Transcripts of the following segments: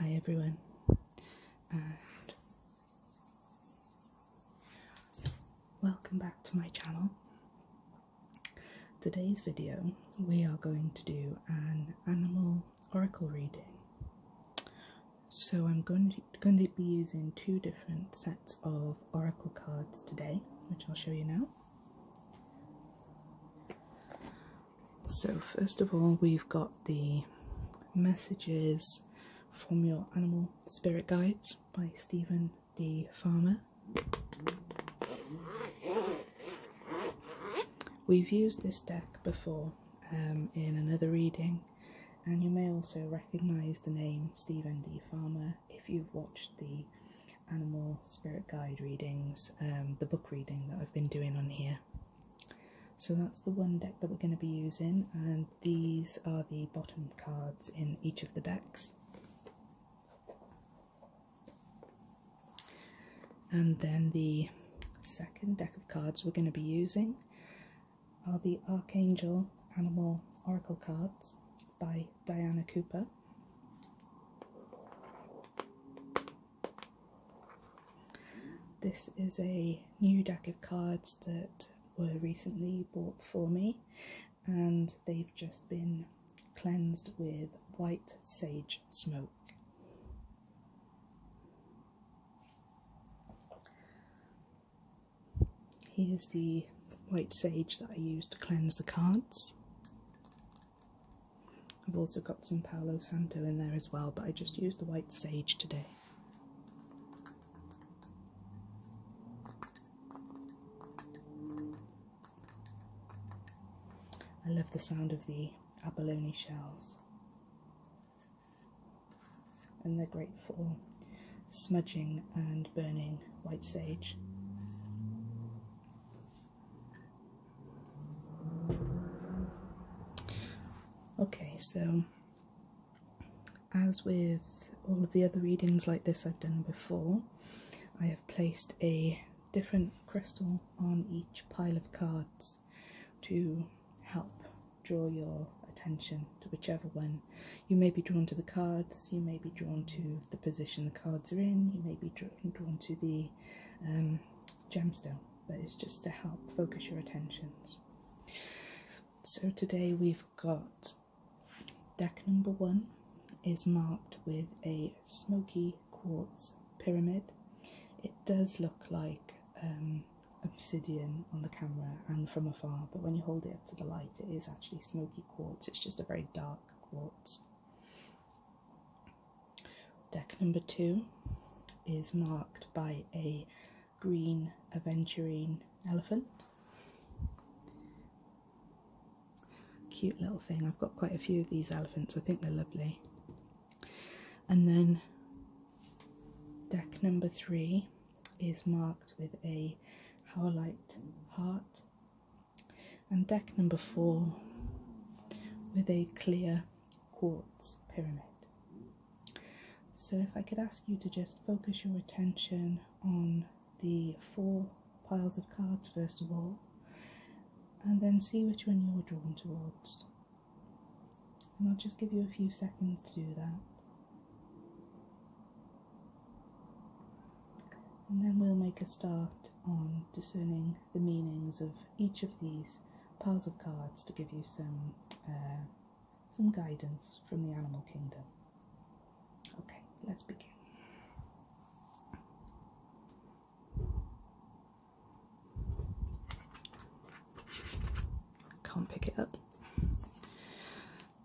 Hi everyone, and welcome back to my channel. Today's video, we are going to do an animal oracle reading. So I'm going to, be using two different sets of oracle cards today, which I'll show you now. So, first of all, we've got the messages from your animal spirit guides by Stephen D. Farmer. We've used this deck before um, in another reading, and you may also recognize the name Stephen D. Farmer if you've watched the animal spirit guide readings, um, the book reading that I've been doing on here. So that's the one deck that we're going to be using, and these are the bottom cards in each of the decks. And then the second deck of cards we're going to be using are the Archangel Animal Oracle cards by Diana Cooper. This is a new deck of cards that were recently bought for me, and they've just been cleansed with white sage smoke. Here's the white sage that I used to cleanse the cards. I've also got some Palo Santo in there as well, but I just used the white sage today. I love the sound of the abalone shells, and they're great for smudging and burning white sage. Okay, so as with all of the other readings like this I've done before, I have placed a different crystal on each pile of cards to help draw your attention to whichever one. You may be drawn to the cards, you may be drawn to the position the cards are in, you may be drawn to the um, gemstone, but it's just to help focus your attentions. So today we've got deck number one is marked with a smoky quartz pyramid. It does look like um, obsidian on the camera and from afar, but when you hold it up to the light, it is actually smoky quartz. It's just a very dark quartz. Deck number two is marked by a green aventurine elephant. Cute little thing. I've got quite a few of these elephants. I think they're lovely. And then deck number three is marked with a howlite heart and deck number four with a clear quartz pyramid. So, if I could ask you to just focus your attention on the four piles of cards first of all, and then see which one you're drawn towards. And I'll just give you a few seconds to do that. And then we'll make a start on discerning the meanings of each of these piles of cards to give you some uh, some guidance from the animal kingdom. Okay, let's begin. Can't pick it up.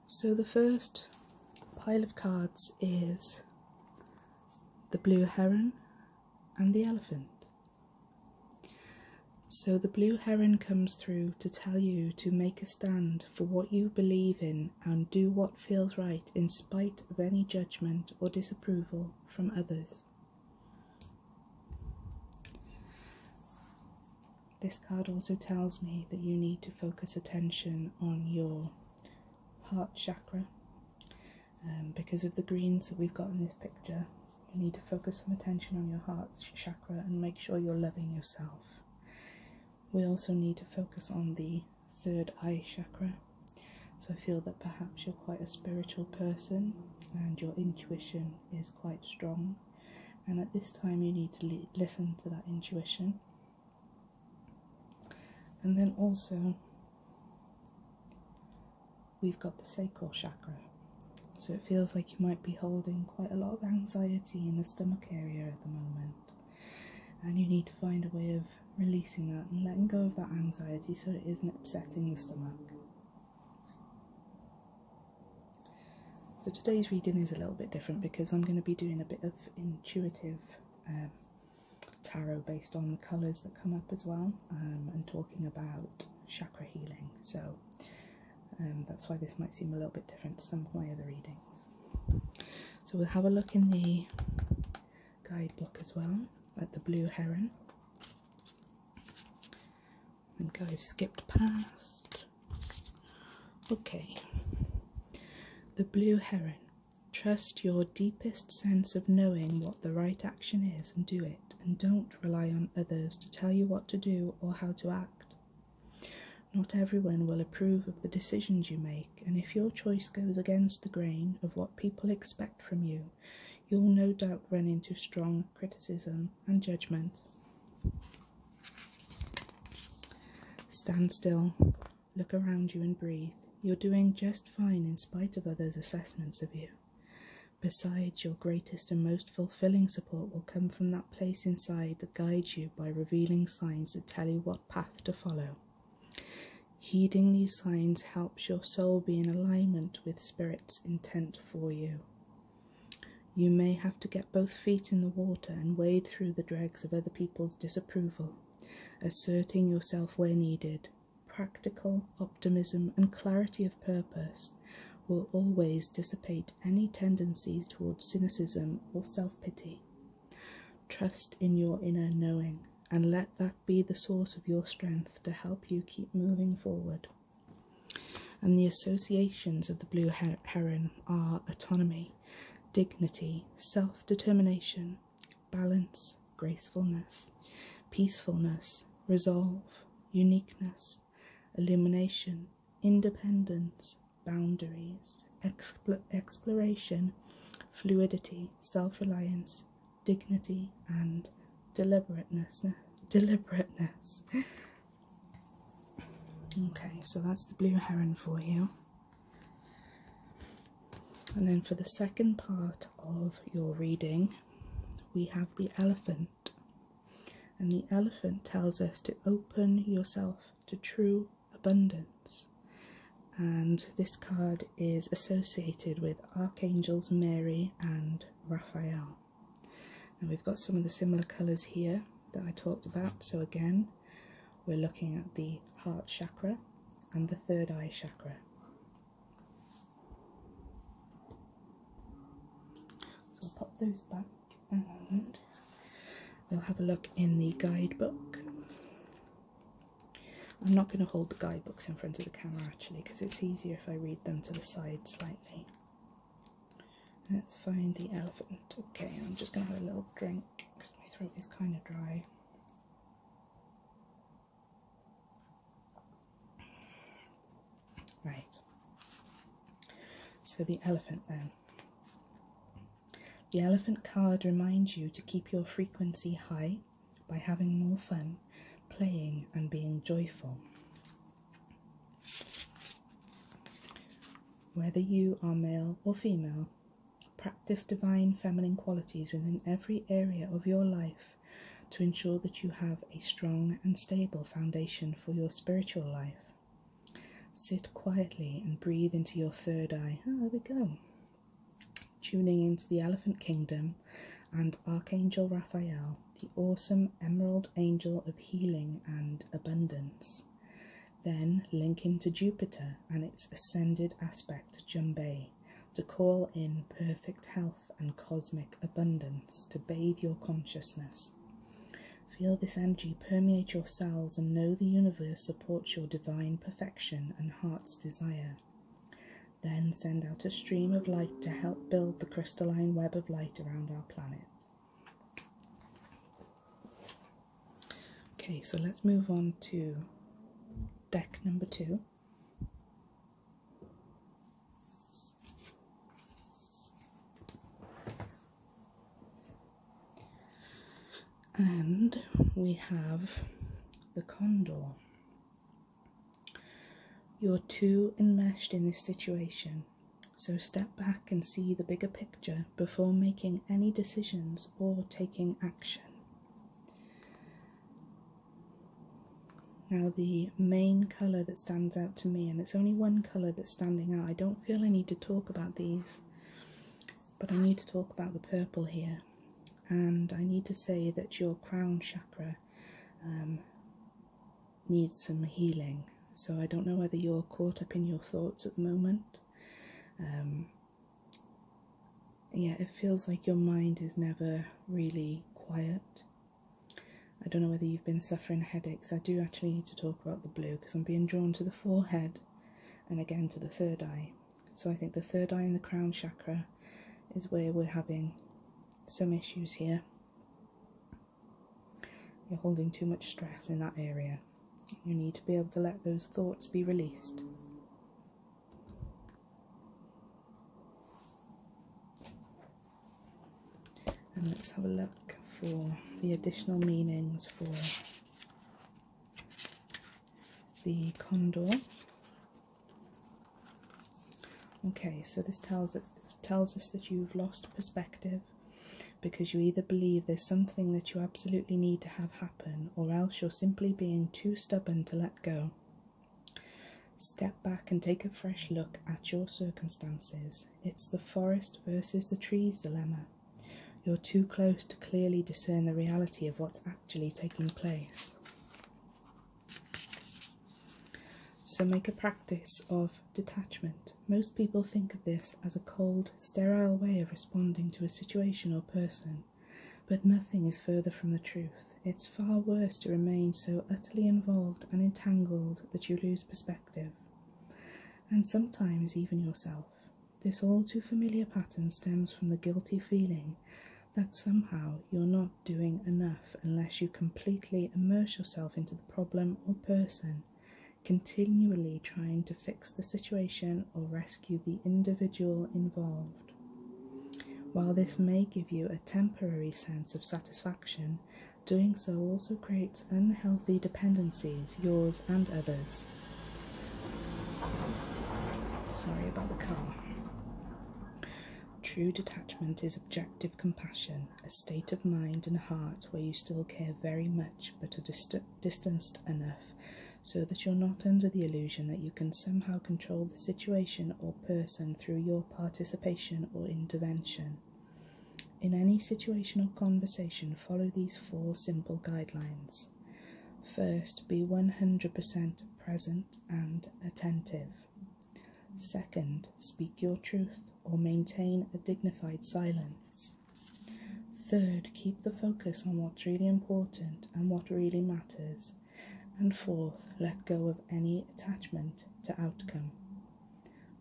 So the first pile of cards is the blue heron and the elephant. So the blue heron comes through to tell you to make a stand for what you believe in and do what feels right in spite of any judgment or disapproval from others. This card also tells me that you need to focus attention on your heart chakra um, because of the greens that we've got in this picture, you need to focus some attention on your heart chakra and make sure you're loving yourself. We also need to focus on the third eye chakra. So I feel that perhaps you're quite a spiritual person and your intuition is quite strong. And at this time, you need to listen to that intuition. And then also, we've got the sacral chakra. So it feels like you might be holding quite a lot of anxiety in the stomach area at the moment. And you need to find a way of releasing that and letting go of that anxiety so it isn't upsetting the stomach. So today's reading is a little bit different because I'm going to be doing a bit of intuitive um, tarot based on the colors that come up as well, um, and talking about chakra healing. So um, that's why this might seem a little bit different to some of my other readings. So we'll have a look in the guidebook as well at the blue heron. I think I've skipped past. Okay. The blue heron. Trust your deepest sense of knowing what the right action is and do it, and don't rely on others to tell you what to do or how to act. Not everyone will approve of the decisions you make, and if your choice goes against the grain of what people expect from you, you'll no doubt run into strong criticism and judgment. Stand still, look around you, and breathe. You're doing just fine in spite of others' assessments of you. Besides, your greatest and most fulfilling support will come from that place inside that guides you by revealing signs that tell you what path to follow. Heeding these signs helps your soul be in alignment with Spirit's intent for you. You may have to get both feet in the water and wade through the dregs of other people's disapproval, asserting yourself where needed, practical optimism, and clarity of purpose will always dissipate any tendencies towards cynicism or self pity. Trust in your inner knowing and let that be the source of your strength to help you keep moving forward. And the associations of the blue heron are autonomy, dignity, self determination, balance, gracefulness, peacefulness, resolve, uniqueness, illumination, independence, boundaries, exploration, fluidity, self reliance, dignity, and deliberateness. Deliberateness. okay, so that's the blue heron for you. And then for the second part of your reading, we have the elephant. And the elephant tells us to open yourself to true abundance. And this card is associated with Archangels Mary and Raphael. And we've got some of the similar colours here that I talked about. So again, we're looking at the heart chakra and the third eye chakra. So I'll pop those back and we'll have a look in the guidebook. I'm not going to hold the guidebooks in front of the camera actually because it's easier if I read them to the side slightly. Let's find the elephant. Okay, I'm just going to have a little drink because my throat is kind of dry. Right. So the elephant then. The elephant card reminds you to keep your frequency high by having more fun, playing, and being joyful. Whether you are male or female, practice divine feminine qualities within every area of your life to ensure that you have a strong and stable foundation for your spiritual life. Sit quietly and breathe into your third eye. Ah, there we go. Tuning into the Elephant Kingdom and Archangel Raphael, the awesome emerald angel of healing and abundance. Then link into Jupiter and its ascended aspect, Jumbay, to call in perfect health and cosmic abundance to bathe your consciousness. Feel this energy permeate your cells and know the universe supports your divine perfection and heart's desire. Then send out a stream of light to help build the crystalline web of light around our planet. Okay, so let's move on to deck number two and we have the condor. You're too enmeshed in this situation, so step back and see the bigger picture before making any decisions or taking action. Now, the main colour that stands out to me, and it's only one colour that's standing out, I don't feel I need to talk about these, but I need to talk about the purple here. And I need to say that your crown chakra um, needs some healing. So I don't know whether you're caught up in your thoughts at the moment. Um, yeah, it feels like your mind is never really quiet. I don't know whether you've been suffering headaches. I do actually need to talk about the blue because I'm being drawn to the forehead and again to the third eye. So I think the third eye in the crown chakra is where we're having some issues here. You're holding too much stress in that area. You need to be able to let those thoughts be released. And let's have a look for the additional meanings for the condor. Okay, so this tells us that you've lost perspective because you either believe there's something that you absolutely need to have happen or else you're simply being too stubborn to let go. Step back and take a fresh look at your circumstances. It's the forest versus the trees dilemma. You're too close to clearly discern the reality of what's actually taking place. So make a practice of detachment. Most people think of this as a cold, sterile way of responding to a situation or person, but nothing is further from the truth it's far worse to remain so utterly involved and entangled that you lose perspective, and sometimes even yourself. This all too familiar pattern stems from the guilty feeling that somehow you're not doing enough unless you completely immerse yourself into the problem or person, continually trying to fix the situation or rescue the individual involved. While this may give you a temporary sense of satisfaction, doing so also creates unhealthy dependencies, yours and others. Sorry about the car. True detachment is objective compassion, a state of mind and heart where you still care very much but are distanced enough so that you're not under the illusion that you can somehow control the situation or person through your participation or intervention. In any situation or conversation, follow these four simple guidelines. First, be 100% present and attentive. Second, speak your truth or maintain a dignified silence. Third, keep the focus on what's really important and what really matters. And fourth, let go of any attachment to outcome.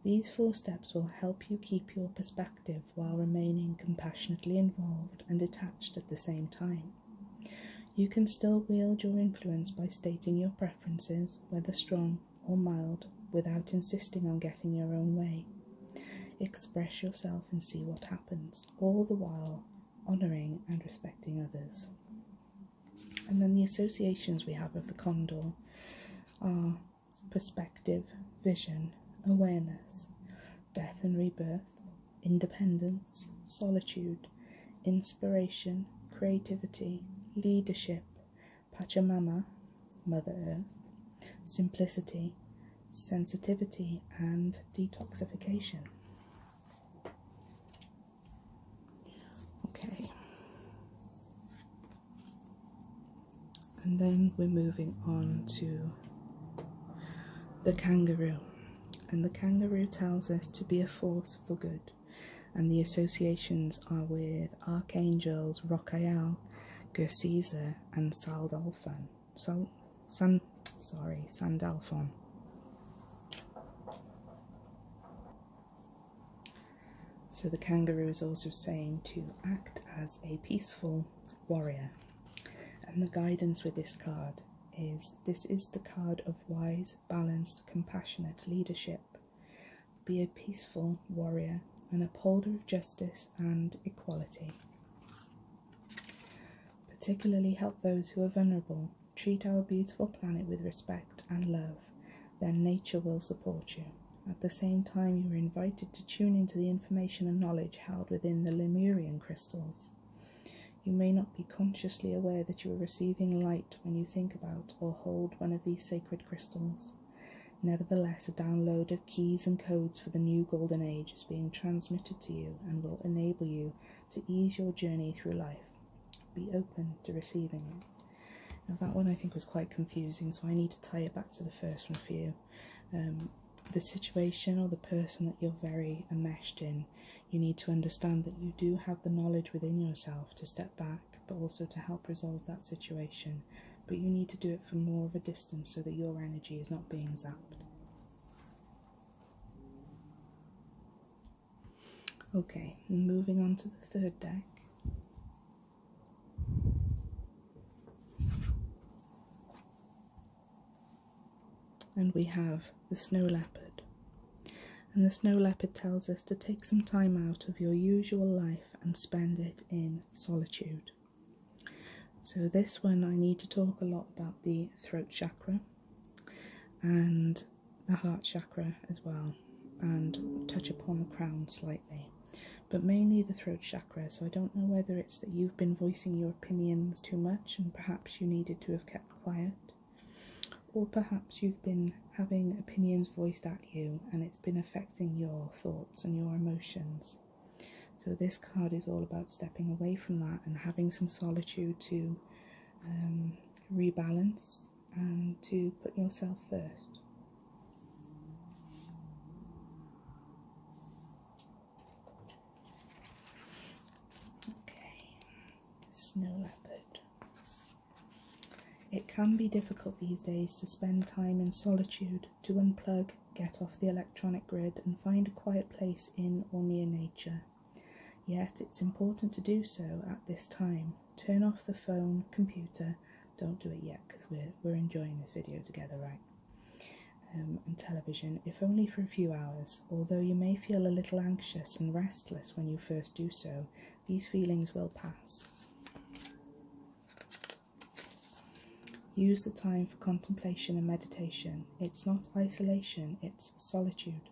These four steps will help you keep your perspective while remaining compassionately involved and detached at the same time. You can still wield your influence by stating your preferences, whether strong or mild, without insisting on getting your own way. Express yourself and see what happens, all the while honouring and respecting others. And then the associations we have of the condor are perspective, vision, awareness, death and rebirth, independence, solitude, inspiration, creativity, leadership, Pachamama, Mother Earth, simplicity, sensitivity, and detoxification. Okay. And then we're moving on to the kangaroo. And the kangaroo tells us to be a force for good. And the associations are with archangels Rocael, Gersesa, and Saldalfan. So, San, sorry, Sandalphon. So the kangaroo is also saying to act as a peaceful warrior. And the guidance with this card is this is the card of wise, balanced, compassionate leadership. Be a peaceful warrior, an upholder of justice and equality. Particularly help those who are vulnerable Treat our beautiful planet with respect and love, then nature will support you. At the same time, you are invited to tune into the information and knowledge held within the Lemurian crystals. You may not be consciously aware that you are receiving light when you think about or hold one of these sacred crystals. Nevertheless, a download of keys and codes for the new golden age is being transmitted to you and will enable you to ease your journey through life be open to receiving it. Now, that one I think was quite confusing, so I need to tie it back to the first one for you. Um, the situation or the person that you're very enmeshed in, you need to understand that you do have the knowledge within yourself to step back, but also to help resolve that situation. But you need to do it from more of a distance so that your energy is not being zapped. Okay, moving on to the third deck. And we have the Snow Leopard. And the Snow Leopard tells us to take some time out of your usual life and spend it in solitude. So, this one I need to talk a lot about the throat chakra and the heart chakra as well and touch upon the crown slightly, but mainly the throat chakra. So I don't know whether it's that you've been voicing your opinions too much and perhaps you needed to have kept quiet, or perhaps you've been having opinions voiced at you and it's been affecting your thoughts and your emotions. So, this card is all about stepping away from that and having some solitude to um, rebalance and to put yourself first. Okay, snow leopard. It can be difficult these days to spend time in solitude, to unplug, get off the electronic grid, and find a quiet place in or near nature. Yet it's important to do so at this time turn off the phone, computer. Don't do it yet because we're we're enjoying this video together, right? Um, and television, if only for a few hours. Although you may feel a little anxious and restless when you first do so, these feelings will pass. Use the time for contemplation and meditation. It's not isolation, it's solitude.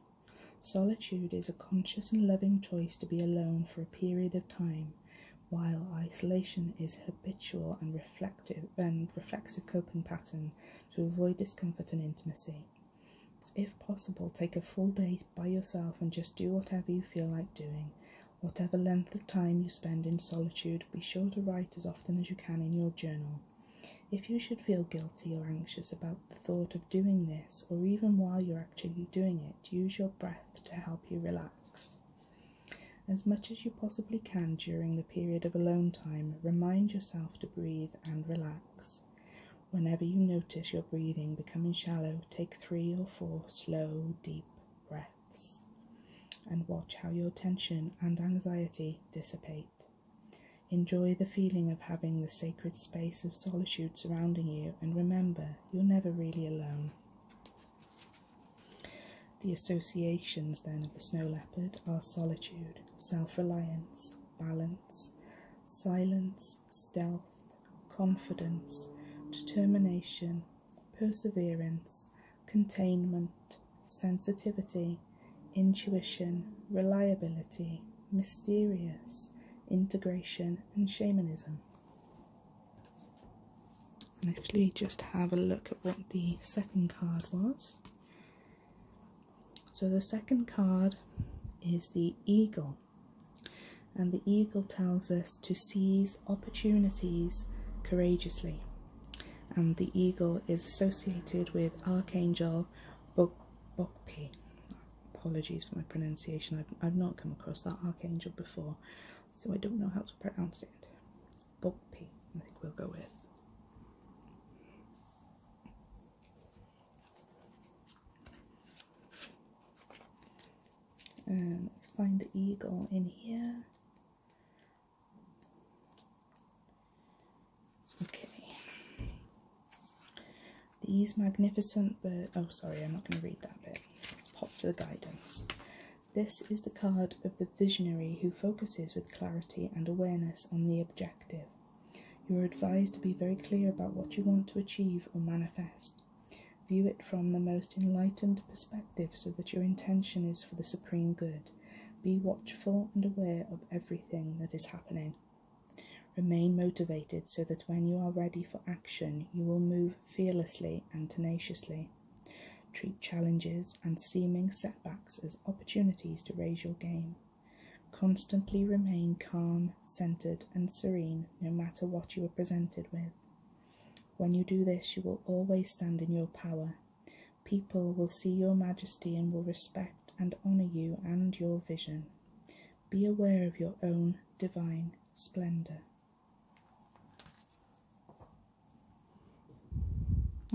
Solitude is a conscious and loving choice to be alone for a period of time, while isolation is habitual and reflective and reflexive coping pattern to avoid discomfort and intimacy. If possible, take a full day by yourself and just do whatever you feel like doing. Whatever length of time you spend in solitude, be sure to write as often as you can in your journal. If you should feel guilty or anxious about the thought of doing this, or even while you're actually doing it, use your breath to help you relax. As much as you possibly can during the period of alone time, remind yourself to breathe and relax. Whenever you notice your breathing becoming shallow, take three or four slow, deep breaths and watch how your tension and anxiety dissipate. Enjoy the feeling of having the sacred space of solitude surrounding you, and remember you're never really alone. The associations then of the snow leopard are solitude, self reliance, balance, silence, stealth, confidence, determination, perseverance, containment, sensitivity, intuition, reliability, mysterious, integration, and shamanism and actually just have a look at what the second card was. So the second card is the eagle, and the eagle tells us to seize opportunities courageously. And the eagle is associated with Archangel Bokbokpi. Apologies for my pronunciation. I've, I've not come across that archangel before, so I don't know how to pronounce it. Boppy, I think we'll go with. Um, let's find the eagle in here. Okay. These magnificent but Oh, sorry, I'm not going to read that bit. Let's pop to the guidance. This is the card of the visionary who focuses with clarity and awareness on the objective. You are advised to be very clear about what you want to achieve or manifest. View it from the most enlightened perspective so that your intention is for the supreme good. Be watchful and aware of everything that is happening. Remain motivated so that when you are ready for action, you will move fearlessly and tenaciously. Treat challenges and seeming setbacks as opportunities to raise your game. Constantly remain calm, centered, and serene no matter what you are presented with. When you do this, you will always stand in your power. People will see your majesty and will respect and honour you and your vision. Be aware of your own divine splendour.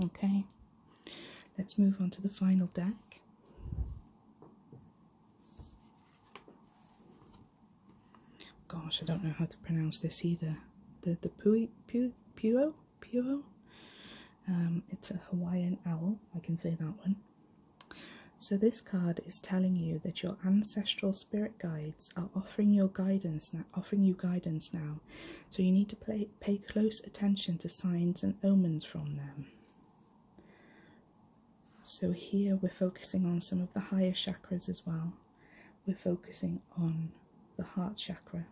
Okay, let's move on to the final deck. Gosh, I don't know how to pronounce this either. The the pui pu puo puo. Um, it's a Hawaiian owl. I can say that one. So, this card is telling you that your ancestral spirit guides are offering your guidance now, offering you guidance now. So, you need to pay, pay close attention to signs and omens from them. So, here we're focusing on some of the higher chakras as well. We're focusing on the heart chakra,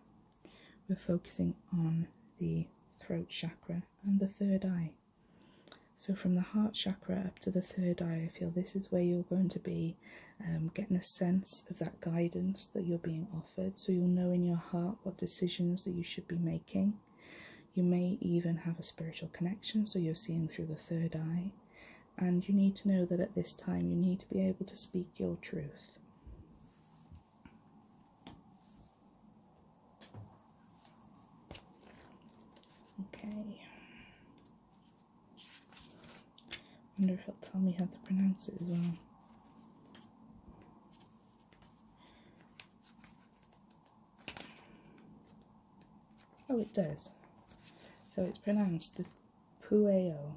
we're focusing on the throat chakra, and the third eye. So, from the heart chakra up to the third eye, I feel this is where you're going to be um, getting a sense of that guidance that you're being offered. So, you'll know in your heart what decisions that you should be making. You may even have a spiritual connection, so you're seeing through the third eye. And you need to know that at this time you need to be able to speak your truth. Okay wonder if he'll tell me how to pronounce it as well. Oh, it does. So it's pronounced the Pueo,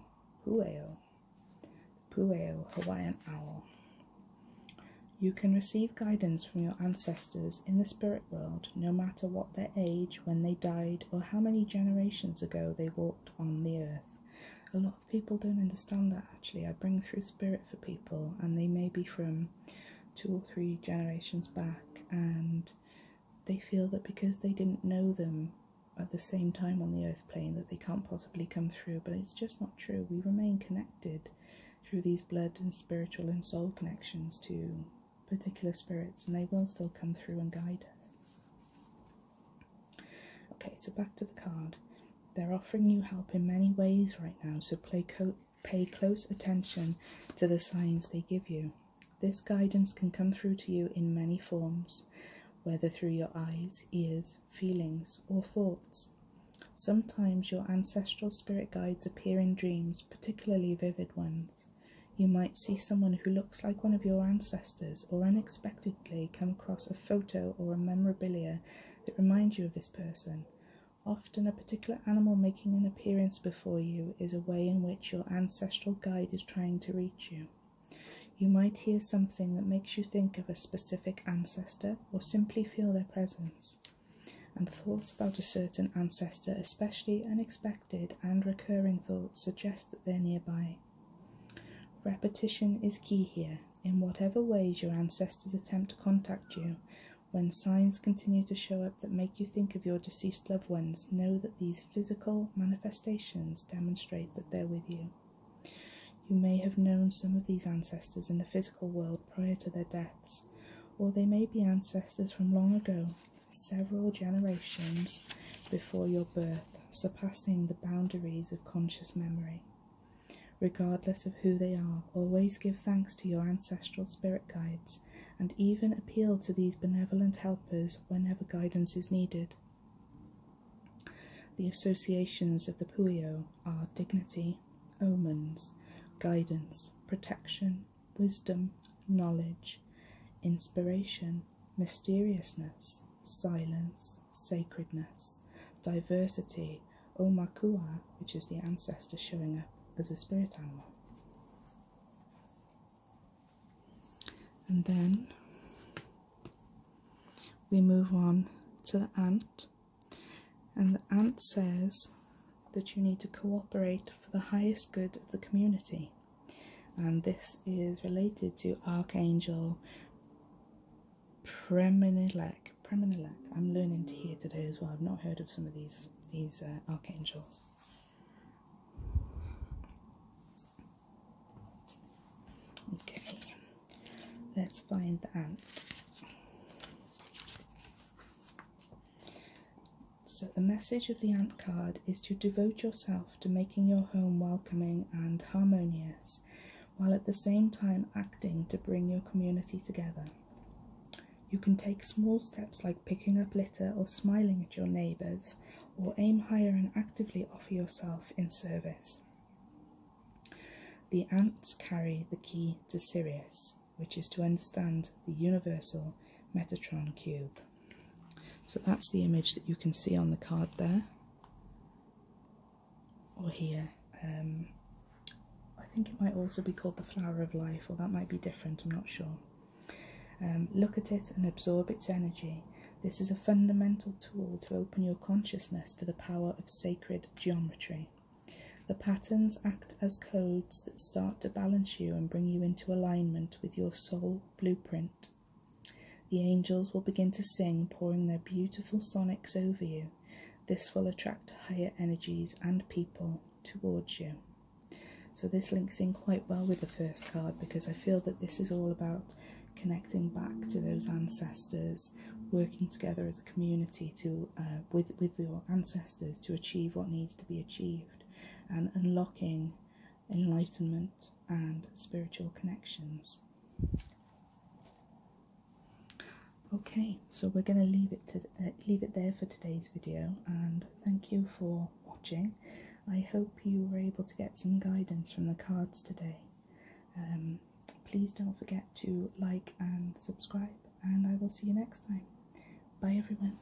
Pueo, Pueo Hawaiian owl. You can receive guidance from your ancestors in the spirit world, no matter what their age, when they died, or how many generations ago they walked on the earth. A lot of people don't understand that actually. I bring through spirit for people, and they may be from two or three generations back, and they feel that because they didn't know them at the same time on the earth plane, that they can't possibly come through. But it's just not true. We remain connected through these blood and spiritual and soul connections to particular spirits, and they will still come through and guide us. Okay, so back to the card. They're offering you help in many ways right now, so play pay close attention to the signs they give you. This guidance can come through to you in many forms, whether through your eyes, ears, feelings, or thoughts. Sometimes your ancestral spirit guides appear in dreams, particularly vivid ones. You might see someone who looks like one of your ancestors or unexpectedly come across a photo or a memorabilia that reminds you of this person. Often, a particular animal making an appearance before you is a way in which your ancestral guide is trying to reach you. You might hear something that makes you think of a specific ancestor or simply feel their presence. And thoughts about a certain ancestor, especially unexpected and recurring thoughts suggest that they're nearby. Repetition is key here. In whatever ways your ancestors attempt to contact you, when signs continue to show up that make you think of your deceased loved ones, know that these physical manifestations demonstrate that they're with you. You may have known some of these ancestors in the physical world prior to their deaths, or they may be ancestors from long ago several generations before your birth, surpassing the boundaries of conscious memory. Regardless of who they are, always give thanks to your ancestral spirit guides and even appeal to these benevolent helpers whenever guidance is needed. The associations of the Puyo are dignity, omens, guidance, protection, wisdom, knowledge, inspiration, mysteriousness, silence, sacredness, diversity, Makua, which is the ancestor showing up as a spirit animal. And then we move on to the ant, and the ant says that you need to cooperate for the highest good of the community and this is related to Archangel Premonilek. Premonilek. I'm learning to hear today as well. I've not heard of some of these these uh, archangels. Okay, let's find the ant. So, the message of the Ant card is to devote yourself to making your home welcoming and harmonious, while at the same time acting to bring your community together. You can take small steps like picking up litter or smiling at your neighbours, or aim higher and actively offer yourself in service. The ants carry the key to Sirius, which is to understand the universal Metatron cube. So that's the image that you can see on the card there, or here. Um, I think it might also be called the flower of life, or that might be different, I'm not sure. Um, look at it and absorb its energy. This is a fundamental tool to open your consciousness to the power of sacred geometry. The patterns act as codes that start to balance you and bring you into alignment with your soul blueprint. The angels will begin to sing, pouring their beautiful sonics over you. This will attract higher energies and people towards you. So, this links in quite well with the first card because I feel that this is all about connecting back to those ancestors, working together as a community to uh, with, with your ancestors to achieve what needs to be achieved, and unlocking enlightenment, and spiritual connections. Okay, so we're going to leave it to uh, leave it there for today's video, and thank you for watching. I hope you were able to get some guidance from the cards today. Um, please don't forget to like and subscribe, and I will see you next time. Bye, everyone.